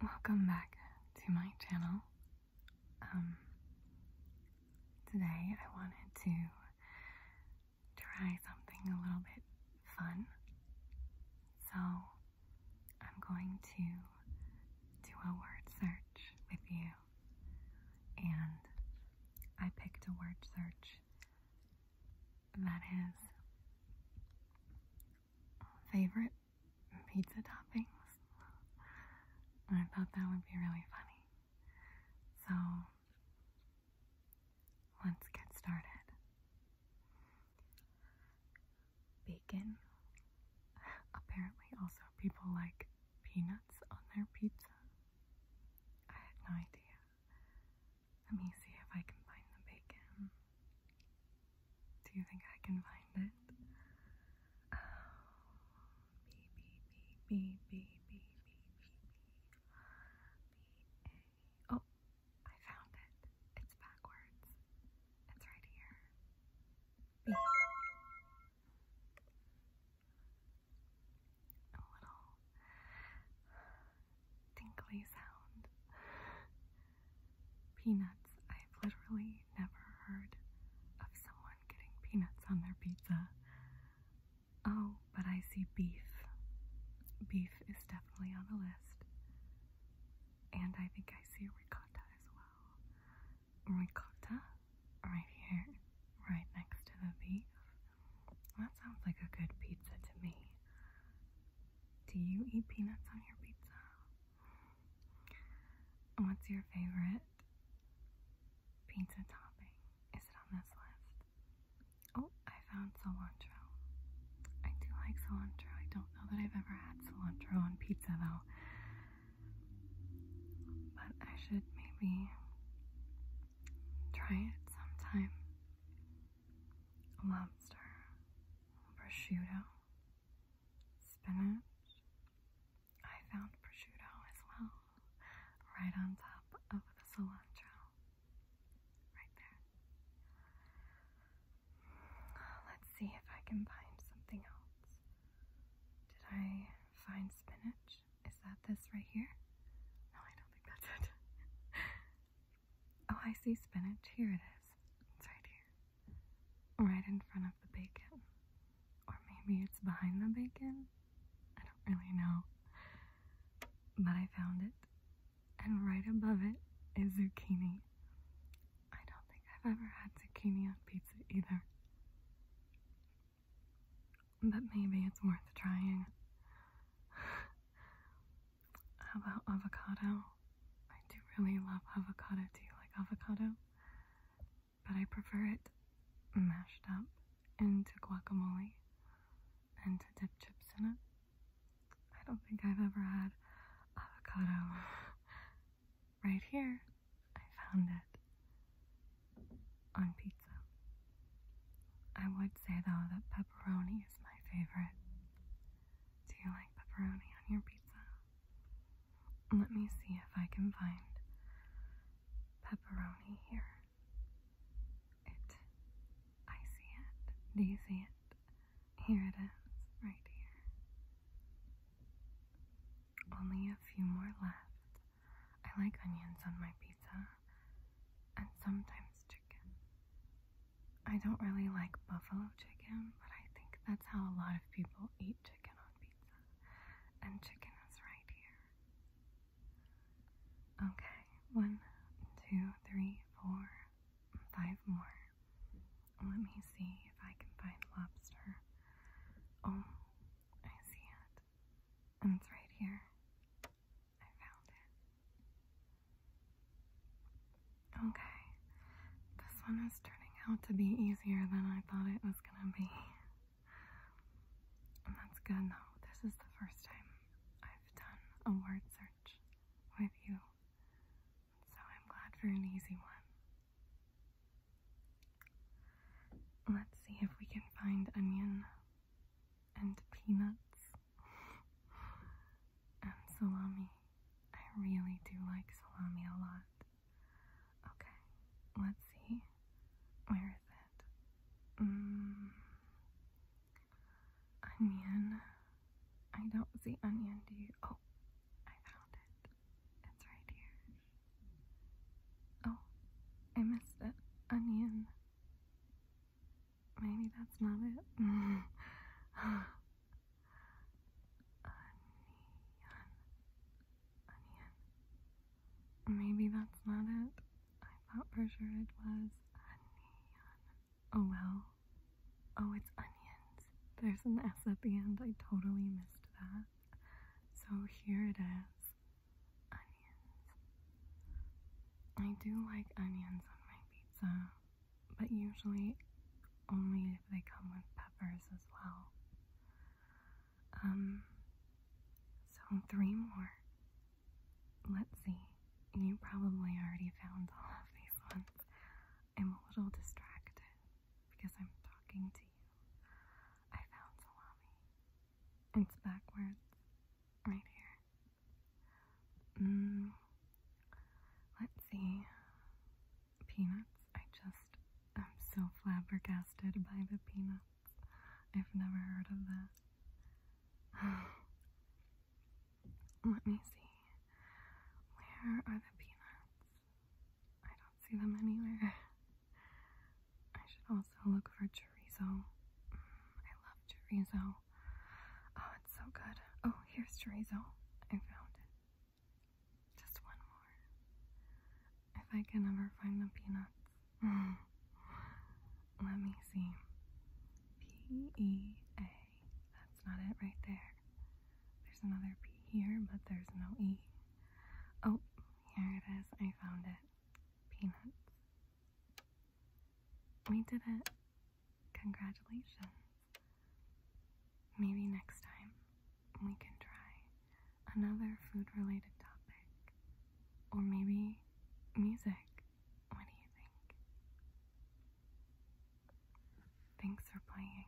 Welcome back to my channel. Um, today I wanted to try something a little bit fun. So I'm going to do a word search with you. And I picked a word search that is favorite pizza toppings. I thought that would be really funny. So, let's get started. Bacon. Apparently, also, people like peanuts on their pizza. I had no idea. Let me see if I can find the bacon. Do you think I can find it? B, B, B, B, B, B, B, B, B, B, A. Oh, I found it. It's backwards. It's right here. B. A little tinkly sound. Peanuts. I've literally never heard of someone getting peanuts on their pizza. Oh, but I see beef. Beef is definitely on the list. And I think I see ricotta as well. Ricotta? Right here. Right next to the beef. That sounds like a good pizza to me. Do you eat peanuts on your pizza? What's your favorite pizza topping? Is it on this list? Oh, I found cilantro. I do like cilantro. I don't know that I've ever had cilantro on pizza though. But I should maybe try it sometime lobster, prosciutto, spinach. I found prosciutto as well, right on top of the cilantro, right there. Let's see if I can find something else. Did I find spinach? Is that this right here? No, I don't think that's it. Oh, I see spinach. Here it is. It's right here. Right in front of the bacon. Or maybe it's behind the bacon? I don't really know. But I found it. And right above it is zucchini. I don't think I've ever had zucchini on pizza either. But maybe it's worth trying. How about avocado? I do really love avocado. Do you like avocado? But I prefer it mashed up into guacamole and to dip chips in it. I don't think I've ever had avocado. right here, I found it on pizza. I would say though that pepperoni is my favorite. Do you like pepperoni on your pizza? Let me see if I can find pepperoni here. It, I see it. Do you see it? Here it is, right here. Only a few more left. I like onions on my pizza, and sometimes chicken. I don't really like buffalo chicken, but I think that's how a lot of people eat chicken on pizza. And chicken is right here. Okay, one, two, three, four, five more. Let me see if I can find lobster. Oh, I see it. And it's right here. I found it. Okay, this one is turning out to be easier than I thought it was gonna be. And that's good though. This is the first time I've done a word search with you. So I'm glad for an easy one. Let's see if we can find onion and peanuts and salami. I really do like salami a lot. Okay, let's see. Where is it? Mm, onion. I don't see onion, do you? Oh, I found it. It's right here. Oh, I missed it. Onion. Maybe that's not it. a neon. Maybe that's not it. I thought for sure it was a Oh well. Oh, it's onions. There's an S at the end. I totally missed that. So here it is onions. I do like onions on my pizza, but usually only if they come with peppers as well. Um, so three more. Let's see. You probably already found all of these ones. I'm a little distracted because I'm talking to you. I found salami. It's backwards. Right here. Mm. let's see. Peanuts. I just am so flabbergasted by the peanuts. I've never heard of that. Let me see. Where are the peanuts? I don't see them anywhere. I should also look for chorizo. Mm, I love chorizo. Oh, it's so good. Oh, here's chorizo. I found it. Just one more. If I can ever find the peanuts. Let me see. P E A. That's not it right there. There's another P here, but there's no E. Oh, here it is. I found it peanuts. We did it. Congratulations. Maybe next time we can try another food related topic. Or maybe music. What do you think? Thanks for playing.